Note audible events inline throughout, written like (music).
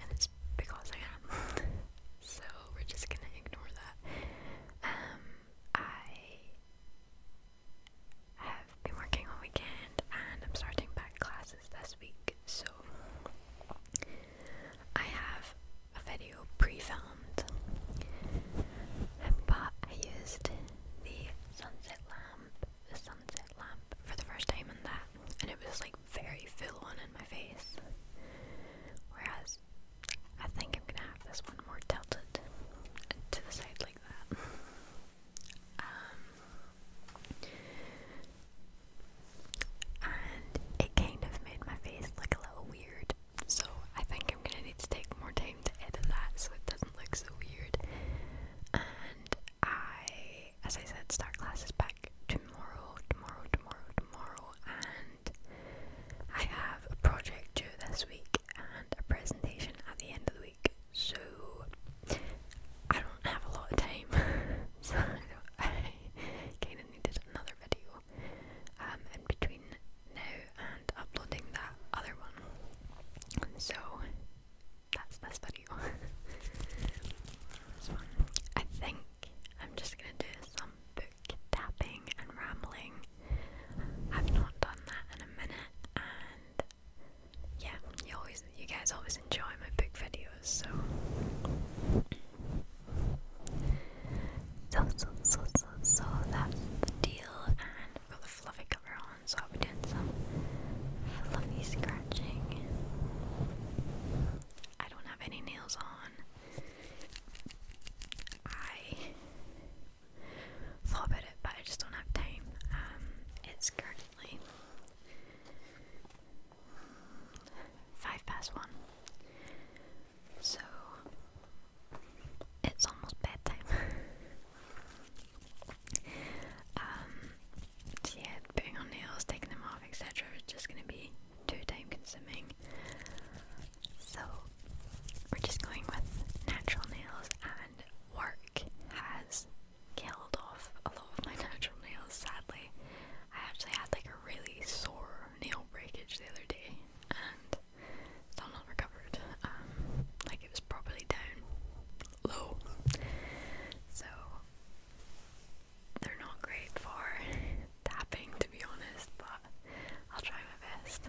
and it's because I am. (laughs) so we're just gonna ignore that. Um, I have been working all weekend, and I'm starting back classes this week. So I have a video pre-filmed, but I used the sunset lamp, the sunset lamp for the first time in that, and it was like very full one in my face. Whereas I think I'm gonna have this one more tilted to the side like that. Um, and it kind of made my face look a little weird, so I think I'm gonna need to take more time to edit that so it doesn't look so weird. And I as I said, start classes back tomorrow, tomorrow, tomorrow, tomorrow, and I have a project due this week and a presentation at the end of the week, so I don't have a lot of time, (laughs) so I, (laughs) I kind of needed another video um, in between now and uploading that other one. So that's this video. (laughs) I think I'm just gonna do some book tapping and rambling. I've not done that in a minute, and yeah, you always, you guys always enjoy my book videos, so. So, so, so, so, that's the deal, and got the fluffy cover on, so I'll be doing some fluffy scratching. I don't have any nails on. I thought about it, but I just don't have time. Um, it's currently five past one, so it's almost bedtime. (laughs) um, so yeah, putting on nails, taking them off, etc. is just going to be too time consuming. So we're just going with natural nails and work has killed off a lot of my (laughs) natural nails sadly. I actually had like a really sore nail breakage the other day and still not recovered. Um, like it was properly down low. So they're not great for (laughs) tapping to be honest, but I'll try my best.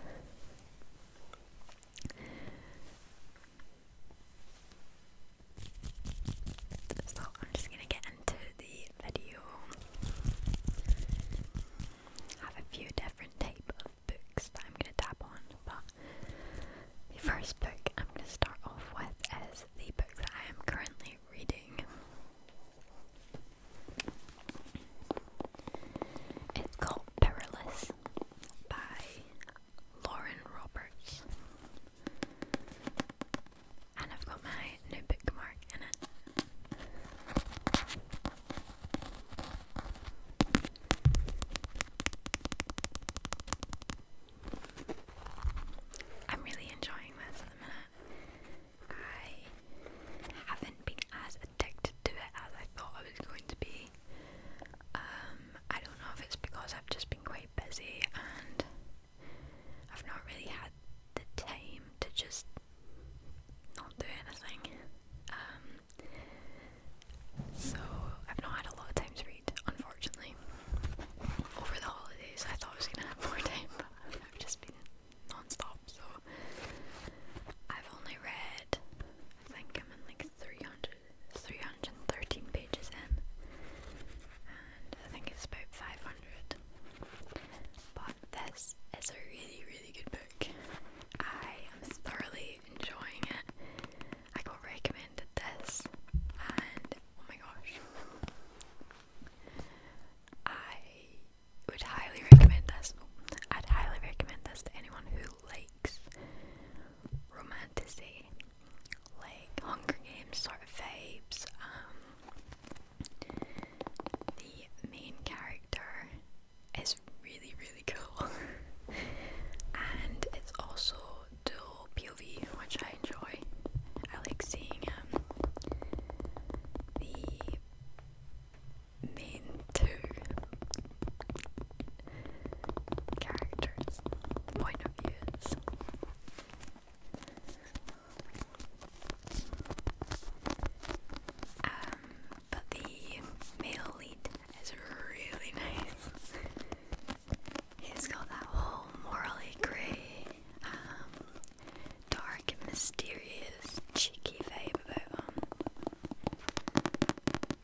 So I'm just gonna get into the video. I have a few different type of books that I'm gonna tap on, but the first book I'm gonna start off with is the book that I am currently reading. It's called Perilous by Lauren Roberts. And I've got my new bookmark in it. I'm really enjoying this I haven't been as addicted to it as I thought I was going to be. Um, I don't know if it's because I've just been quite busy and I've not really had the time to just not do anything. Um, so I've not had a lot of time to read, unfortunately over the holidays. I thought I was gonna have more time, but I've just been non-stop. So I've only read, I think I'm in like 300, 313 pages in, and I think it's about 500. But this is a really, really good book. I am thoroughly enjoying it. I got recommended this, oh my gosh, I would highly recommend this. I'd highly recommend this to anyone who likes romanticy, like Hunger Games sort of vibes. Um, the main character is really, really cool, (laughs) and it's also do POV, which I enjoy. I like seeing um, the main two characters' point of views. Um, but the male lead is really (laughs) nice. He's got that whole morally grey, um, dark and mysterious, cheeky vibe about him.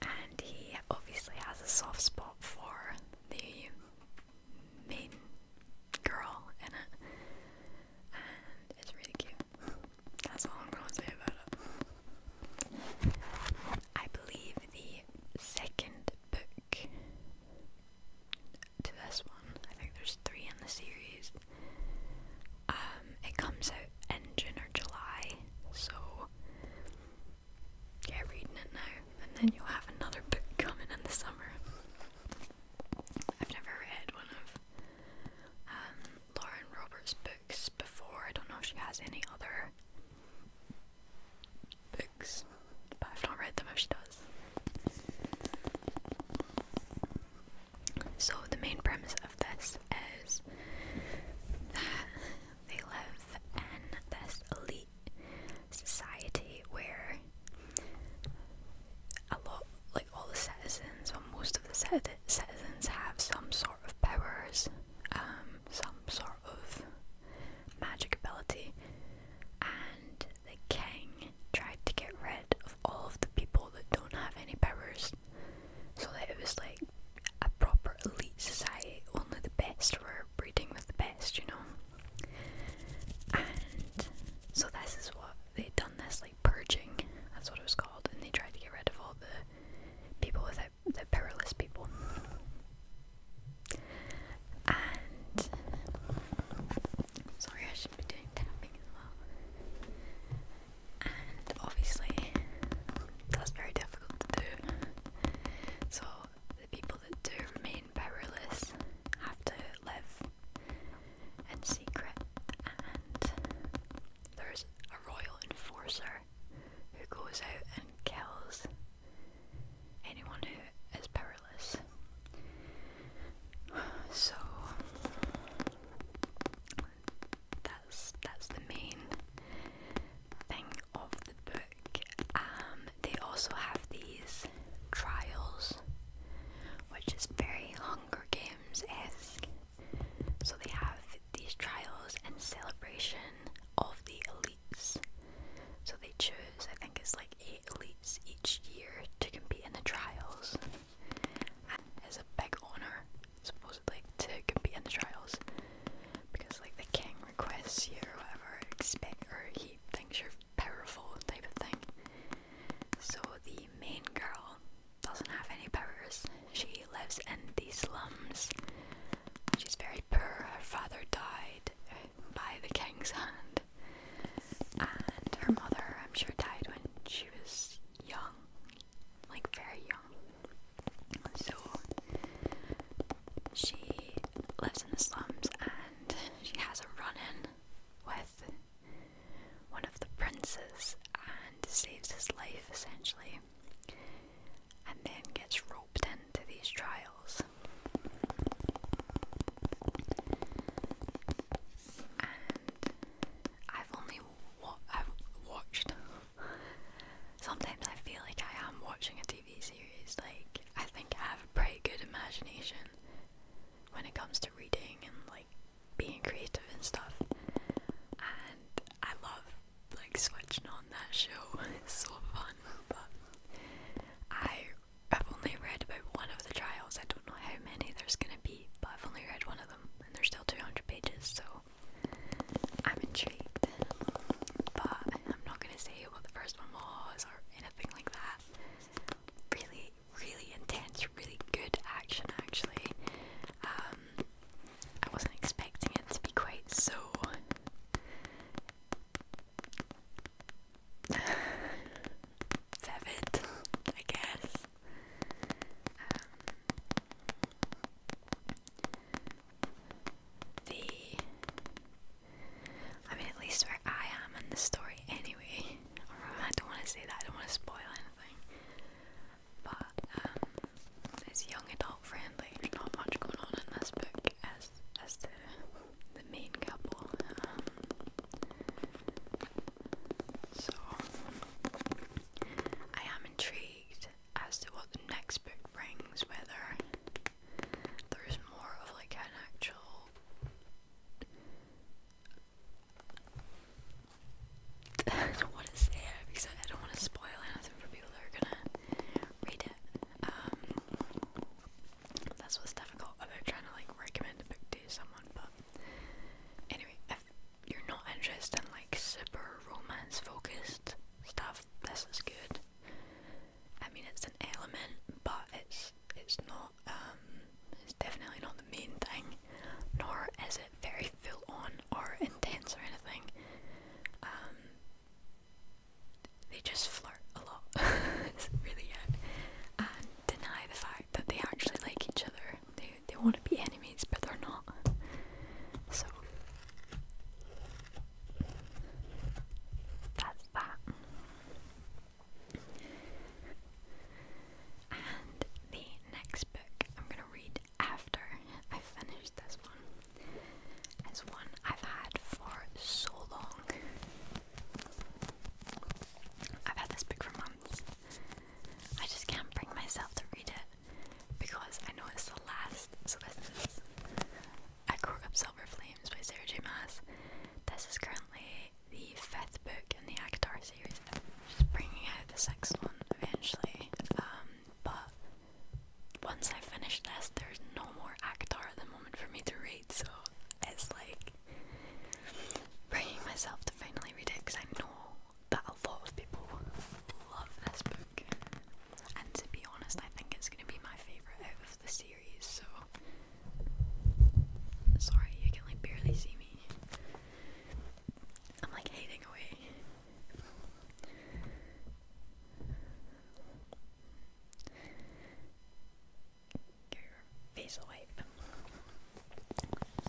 And he obviously has a soft spot for the main girl in it. And it's really cute. That's all I'm gonna say about it. I believe, the second book to this one. I think there's three in the series. Um, it comes out in June or July, so get reading it now, and then you'll have another book (laughs) coming in the summer. I've never read one of um, Lauren Roberts' books before. I don't know if she has any other books, but I've not read them as she does. So, the main premise of this is that they live in this elite society where a lot, like all the citizens, or most of the citizens, have some sort of powers. Um, some sort of magic ability, and the king tried to get rid of all of the people that don't have any powers, so that it was like a proper elite society. Only the best were breeding with the best, you know. And so this is what they'd done. This like purging, that's what it was called, and they tried to get rid of all the people without the perilous people. And sorry, I should be doing tapping And obviously, that's very difficult to do. So the people that do remain perilous have to live in secret, and there's a royal enforcer who goes out and kills anyone who is powerless. (sighs) So that's that's the main thing of the book. Um, they also have these trials, which is very Hunger Games esque. So they have these trials and celebration of the elite. So they choose, I think it's like eight elites each year to compete in the trials. it's a big honour, supposedly, to compete in the trials. Because like the king requests you or whatever, expect or he thinks you're powerful type of thing. So the main girl doesn't have any powers. She lives in the slums. She's very poor. Her father died by the king's hand. And her mother, I'm sure, died when she was young, like very young. So she lives in the slums and she has a run in with one of the princes and saves his life essentially and then gets roped into these trials. And I've only wa I've watched. Sometimes I feel like I am watching a TV series. Like I think I have a pretty good imagination when it comes to reading and like being creative and stuff. And I love like switching on that show. (laughs) It's so fun, but I have only read about one of the trials. I don't know how many there's gonna be, but I've only read one of them, and there's still 200 pages, so I'm intrigued. But I'm not gonna say what the first one was or anything like that. Really, really intense, really good action, actually. Um, I wasn't expecting it to be quite so Vivid, I guess. Um, the I mean at least where I am in the story anyway. (laughs) I don't wanna say that, I don't wanna spoil anything. But um it's young adult friendly. There's not much going on in this book as as the the main couple. Um, so I am intrigued as to what the next book brings, whether there's more of like an actual (laughs) I to say because I don't want to spoil anything for people that are gonna read it. Um, that's what's difficult I'm trying to like recommend a book to someone, but anyway, if you're not interested in like super romance focused stuff, this is good. I mean, it's an element, but it's it's not um it's definitely not the main thing, nor is it very full on or intense or anything. Um, they just flirt a lot. (laughs) really And deny the fact that they actually like each other. They they want to be enemies but they're not. So that's that. And the next book I'm gonna read after I finish this one. It's one I've had for so long. I've had this book for months. I just can't bring myself to read it because I know it's the last. So this is I Court of Silver Flames by Sarah J. This is currently the fifth book in the Agadar series. She's bringing out the sixth one eventually, um, but once I finish this, there's no more Akhtar at the moment for me to read, so it's like bringing myself to finally read it because I know that a lot of people love this book. And to be honest, I think it's going to be my favourite of the series, so. Sorry, you can like barely see me. I'm like hiding away your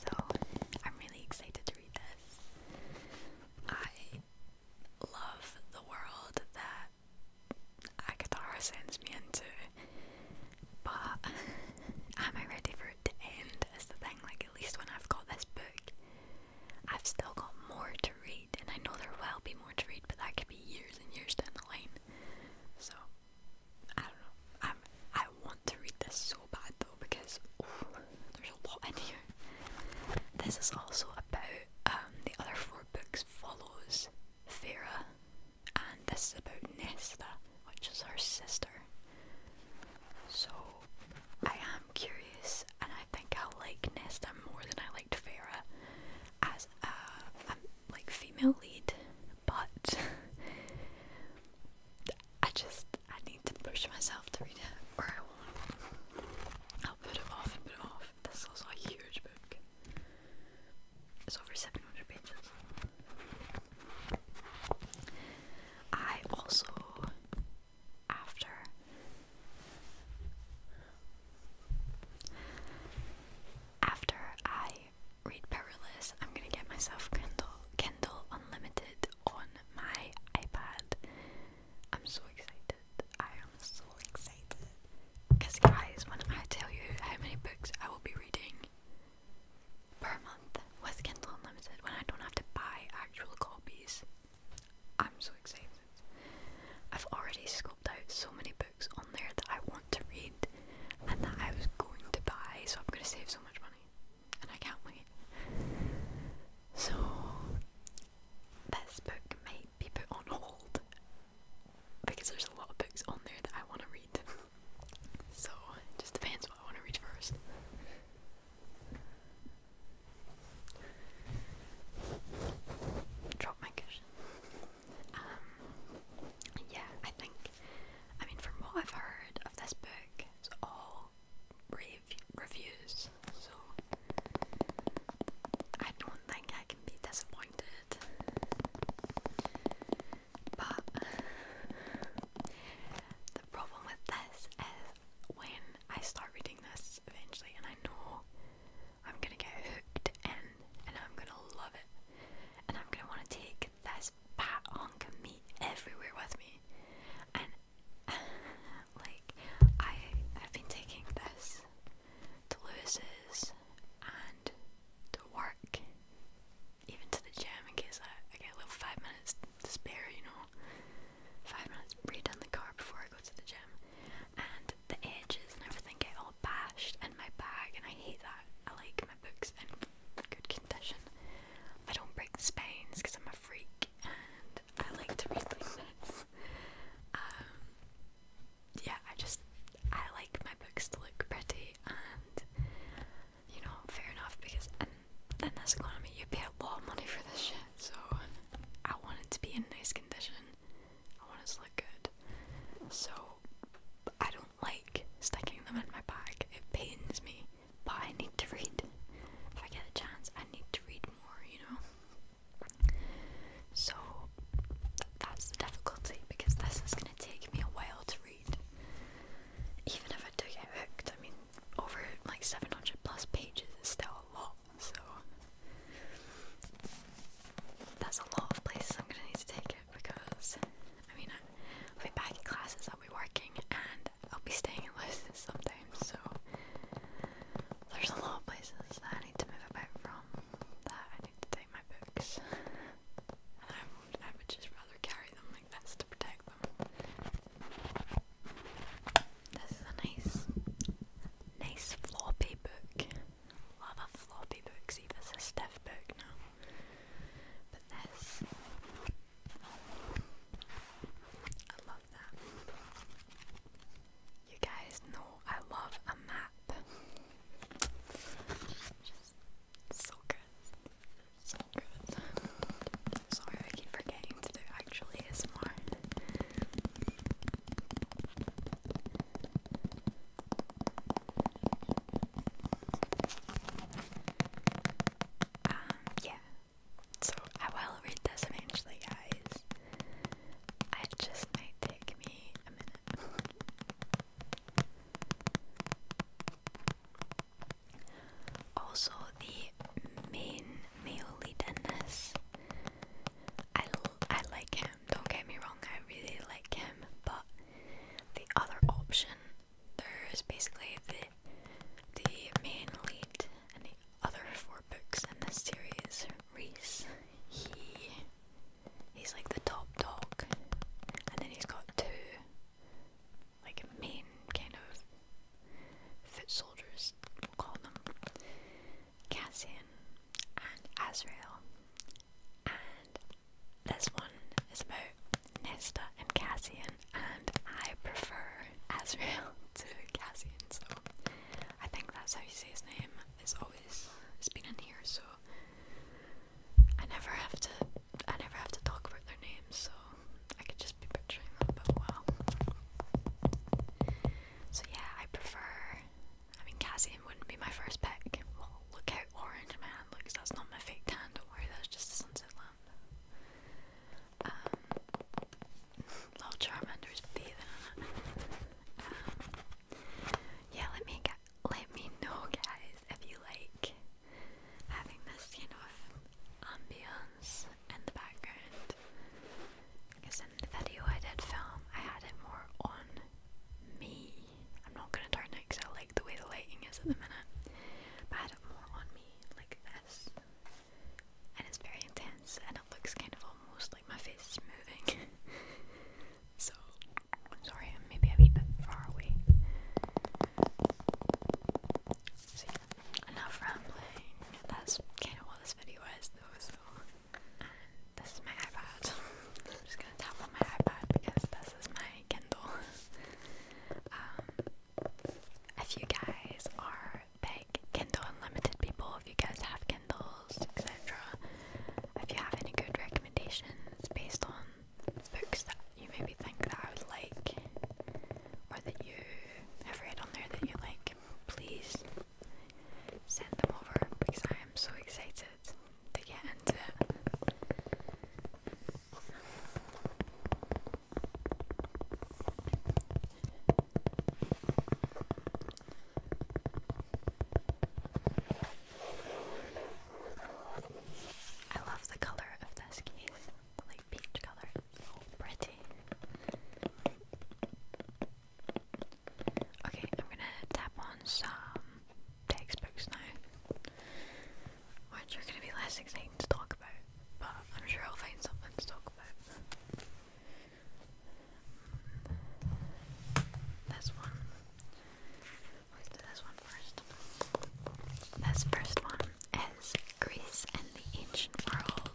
So I'm really excited to read this. I love the world that Akatara sends me into, but am I ready for it to end? Is the thing like at least when I've got this book, I've still got more to read, and I know there will be more to read, but that could be years and years down the line. So I don't know. i I want to read this so bad though because ooh, there's a lot in here. This is also about um, the other four books follows Farah, and this is about Nesta, which is her sister. So I am. I'm curious, and I think I like Nesta more than I liked Farah as a, a like female lead, but (laughs) I just I need to push myself to read it, or I won't. I'll put it off and put it off. This is also a huge book. It's over 700 pages. I also after. After I read Powerless, I'm gonna get myself Kindle Kindle Unlimited on my iPad. I'm so excited. I am so excited. Cause guys, when I tell you how many books I will be reading per month with Kindle Unlimited, when I don't have to buy actual copies, I'm so excited. I've already scooped out so many books on there that I want to read and that I was going to buy, so I'm going to save so much money. And I can't wait. So, this book may be put on hold because there's a lot of books on there that I want to read. so, it just depends what I want to read first. Drop my cushion. Um, yeah, I think. I mean, from what I've heard of this book, it's all rave reviews, so I don't think I can be disappointed. But the problem with this when I start reading this eventually, and I know I'm gonna get hooked in, and I'm gonna love it, and I'm gonna want to take this bat on me everywhere with me, and (laughs) like I I've been taking this to Lewis's and to work, even to the gym in case I, I get a little five minutes to spare, you know five minutes redone the car before I go to the gym, and the edges and everything get all bashed in my bag, and I hate that. I like my books in good condition. I don't break spines because I'm a freak, and I like to read like Um, yeah, I just I like my books to look pretty, and you know, fair enough because in this economy, you pay a lot of money for this shit, so I want it to be in nice condition. I want it to look good. So I don't like sticking them in my bag. It pains me, but I need to read. If I get a chance, I need to read more, you know? So that's the difficulty because this is going to take me a while to read. Even if I do get hooked, I mean, over like 700 plus pages is still a lot, so that's a lot of places I'm gonna need to take it because I mean, I'll be back in classes, I'll be working, and I'll be staying in London sometimes, so there's a lot of places that I need to move about from that I need to take my books. And I would, I would just rather carry them this This is a nice, nice floppy book. Love a floppy book, see if it's a stiff book now. But this, I love that. You guys know I love a map. Just so good. So good. Sorry, I keep forgetting to do actually ASMR. Um, yeah. So I will read this eventually, guys. It just might take me a minute. Also, the main male lead in this, like him, don't get me wrong, I really like him, but the other option, there's basically the, the main lead in the other four books in this series, Reese, he, he's like the top dog, and then he's got two, like main kind of foot soldiers, we'll call them, Cassian and Azrael. And this one is about Nesta and Cassian, and I prefer Azrael (laughs) to Cassian, so I think that's how you say his name. It's always it's been in here, so I never have to I never have to talk about their names, so I could just be picturing them, but well. So yeah, I prefer. I mean, Cassie wouldn't be my first pick. look how orange my hand looks. That's not my fake tan. Don't worry, that's just the sunset lamp. Um, (laughs) little Charmander is bathing in it. Um, yeah, let me Let me know, guys, if you like having this, you know, if drums the background. Because in the video I did film, I had it more on me. I'm not going to turn it because I like the way the lighting is at the minute. But I had it more on me, like this. And it's very intense and it looks kind of almost like my face is moving. (laughs) so, sorry, maybe I'm a bit far away enough rambling. That's kind of what this video is, this is my iPad. I'm just gonna tap on my iPad because this is my Kindle. um, if you guys are big Kindle Unlimited people, if you guys have Kindles, etc., if you have any good recommendations based on books that you maybe think that I would like, or that you have read on there that you like, please send them over because I am so excited to get into I love the colour of this case like peach color. So pretty. Okay, I'm gonna tap on some textbooks now, which are gonna be less exciting to talk about, but I'm sure I'll find something to talk about. This one. Let's do this one first. This first one Greece and the ancient world.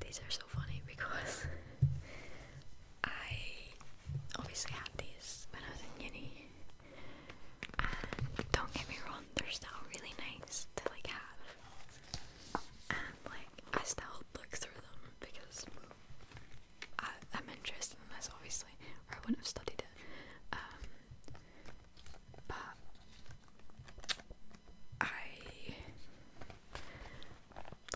These are so funny because I obviously had these when I was in Guinea, and don't get me wrong, they're still really nice to like have, and like I still look through them because I, am interested in this obviously, or I wouldn't have studied it. Um, but I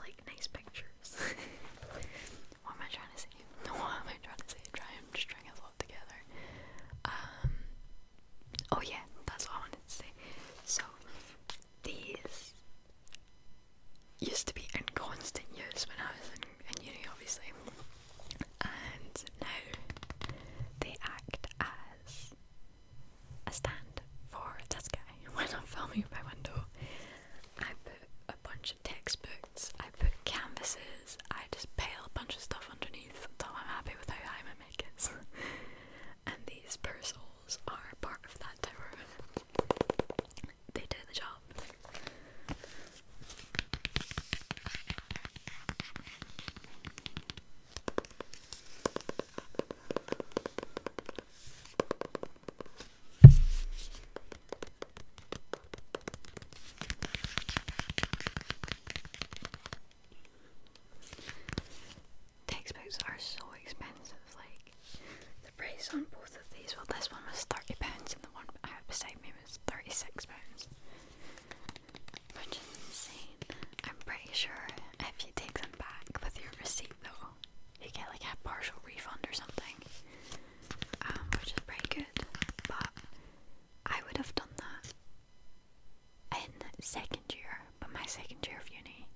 like nice pictures. (laughs) what am I trying to say? No, (laughs) what am I trying to say? Try i just trying to lot together. Um oh yeah, that's what I wanted to say. So these used to be in constant use when I was in, in uni obviously and now they act as a stand for this (laughs) guy. When i filming my window, I put a bunch of textbooks, I put canvases, I just pile a bunch of stuff underneath until I'm happy with how high my mic is. (laughs) and these purses are part of that tower. They do the job. Textbooks are so expensive, like the price on both of these. Well, this one was £30 and the one I have beside me was £36. Which is insane. I'm pretty sure if you take them back with your receipt though, you get like a partial refund or something. Um, which is pretty good. But I would have done that in second year, but my second year of uni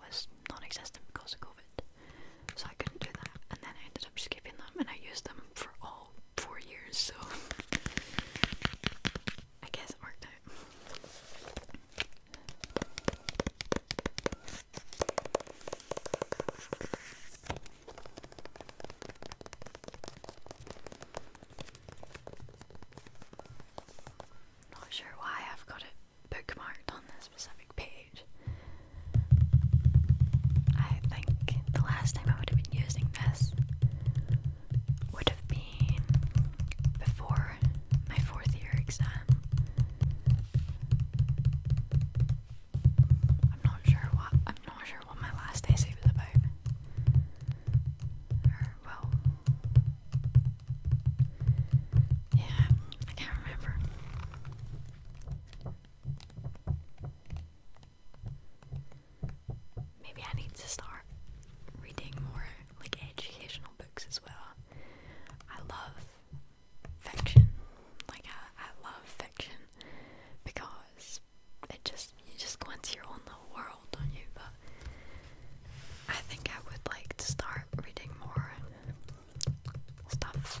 was non existent because of COVID. So I couldn't do that and then I ended up skipping them and I used them for all four years, so I guess it worked out. Not sure why I've got it bookmarked on this specific page the last time I would have been using this would have been before my fourth year exam. I'm not sure what I'm not sure what my last essay was about. well Yeah, I can't remember. Maybe I need to start reading more like educational books as well. I love fiction. Like I, love fiction because it just you just go into your own little world, on you? But I think I would like to start reading more stuff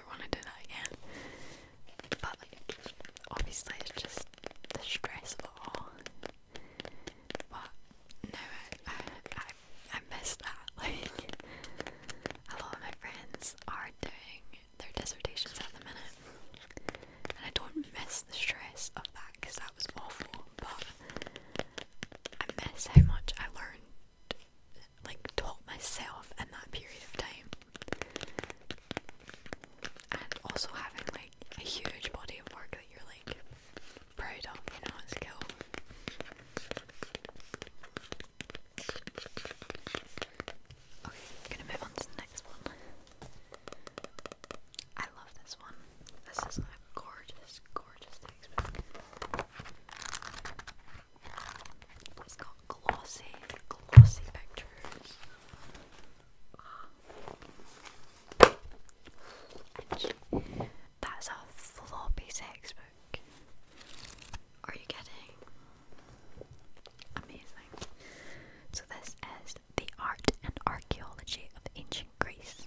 I ever want to do that again. But like, obviously it's just the stress of it all. But no, I, I miss that. (laughs) Like, a lot of my friends are doing their dissertations at the minute, and I don't miss the stress of that because that was awful. But I miss how much I learned like taught myself in that period of time. And also having like a huge body of work that you're like proud of, you know, it's cool. Okay, I'm gonna move on to the next one. I love this one. This is a gorgeous, gorgeous textbook. It's got glossy, glossy pictures. And that's a floppy textbook. Are you kidding? Amazing. So this is the art and archaeology of ancient Greece.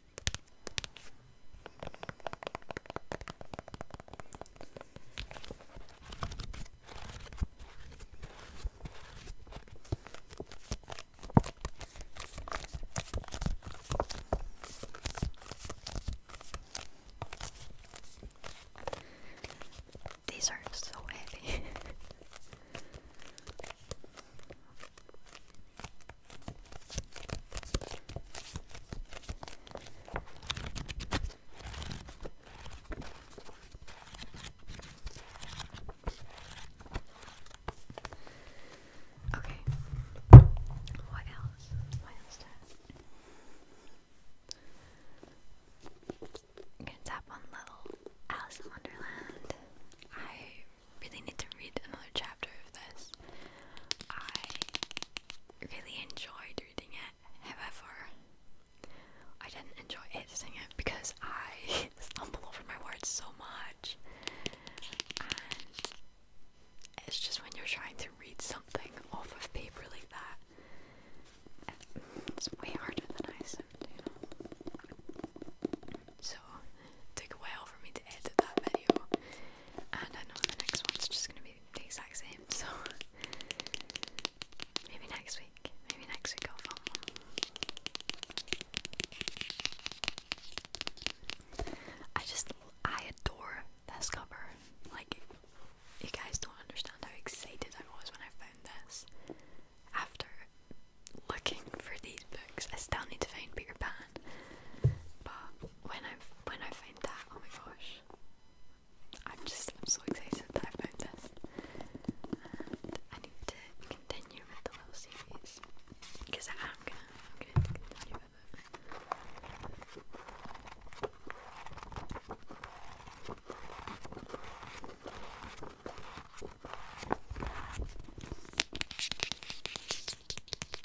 These are so heavy. (laughs) Okay. What else? What else? tap on Little Alice in Wonderland. I really need to read another chapter of this. I really enjoyed reading it, however, I didn't enjoy editing it because I (laughs) stumble over my words so much. And it's just when you're trying to read something off of paper like that, it's way harder than I assumed, you know. So it took a while for me to edit that video, and I know the next one's just gonna be the exact same. So maybe next week, maybe next week I'll film one. I just I adore this cover. Like you guys don't understand how excited I was when I found this. After looking for these books, I still need to find Peter Pan but when I when I find that, oh my gosh, I'm just I'm so excited that I found this. I need to continue with the series because I am gonna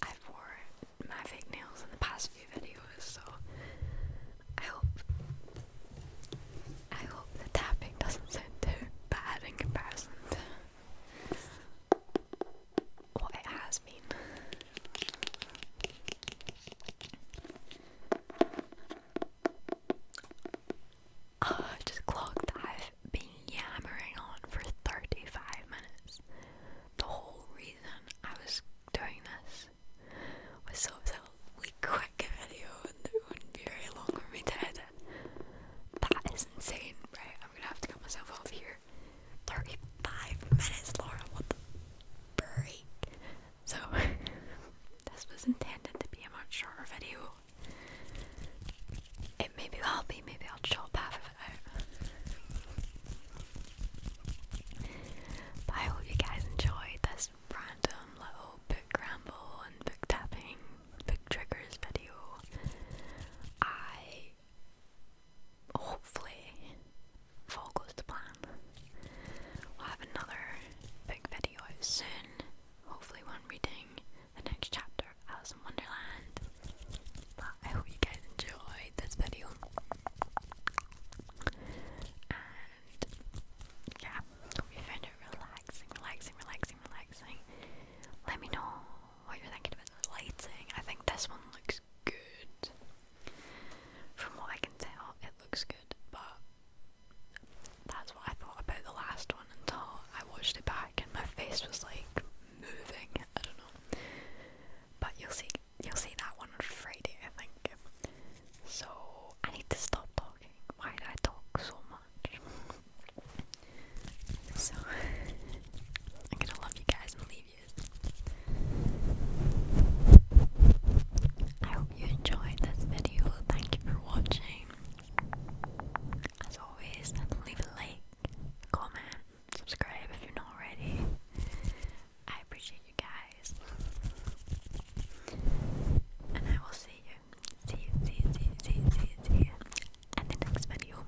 I've worn my fake nails in the past few videos, so I hope I hope the tapping doesn't sound too bad in comparison to what it has been. Oh, just clock I've been yammering on for 35 minutes. The whole reason I was doing this was so that I would quick video and it wouldn't be very long for me to edit. That is insane, right? I'm gonna have to cut myself off here. 35 minutes, Laura. break? So, (laughs) this was intended to be a much shorter video. It maybe will be, maybe I'll chop half of it out. But I hope you guys enjoyed this random little book ramble and book tapping, book triggers video. I hopefully if all goes to plan, we'll have another big video soon. Hopefully one reading the next chapter of Alice in Wonderland. But I hope you guys enjoyed this video. And yeah, hope you found it relaxing, relaxing, relaxing, relaxing. Let me know what you're thinking about the lighting. I think this one looks good. From what I can tell, it looks good, but that's what I thought about the last one until I watched it back and my face was like moving. I don't know. But you'll see you'll see that one on Friday, I think. So I need to stop talking. Why did I talk so much? (laughs) So (laughs) I'm gonna love you guys and leave I hope you enjoyed this video. Thank you for watching. As always, leave a like, comment, subscribe if you're not already. I appreciate you guys. And I will see you. See you, see you, see you, see you, see you, see the next video.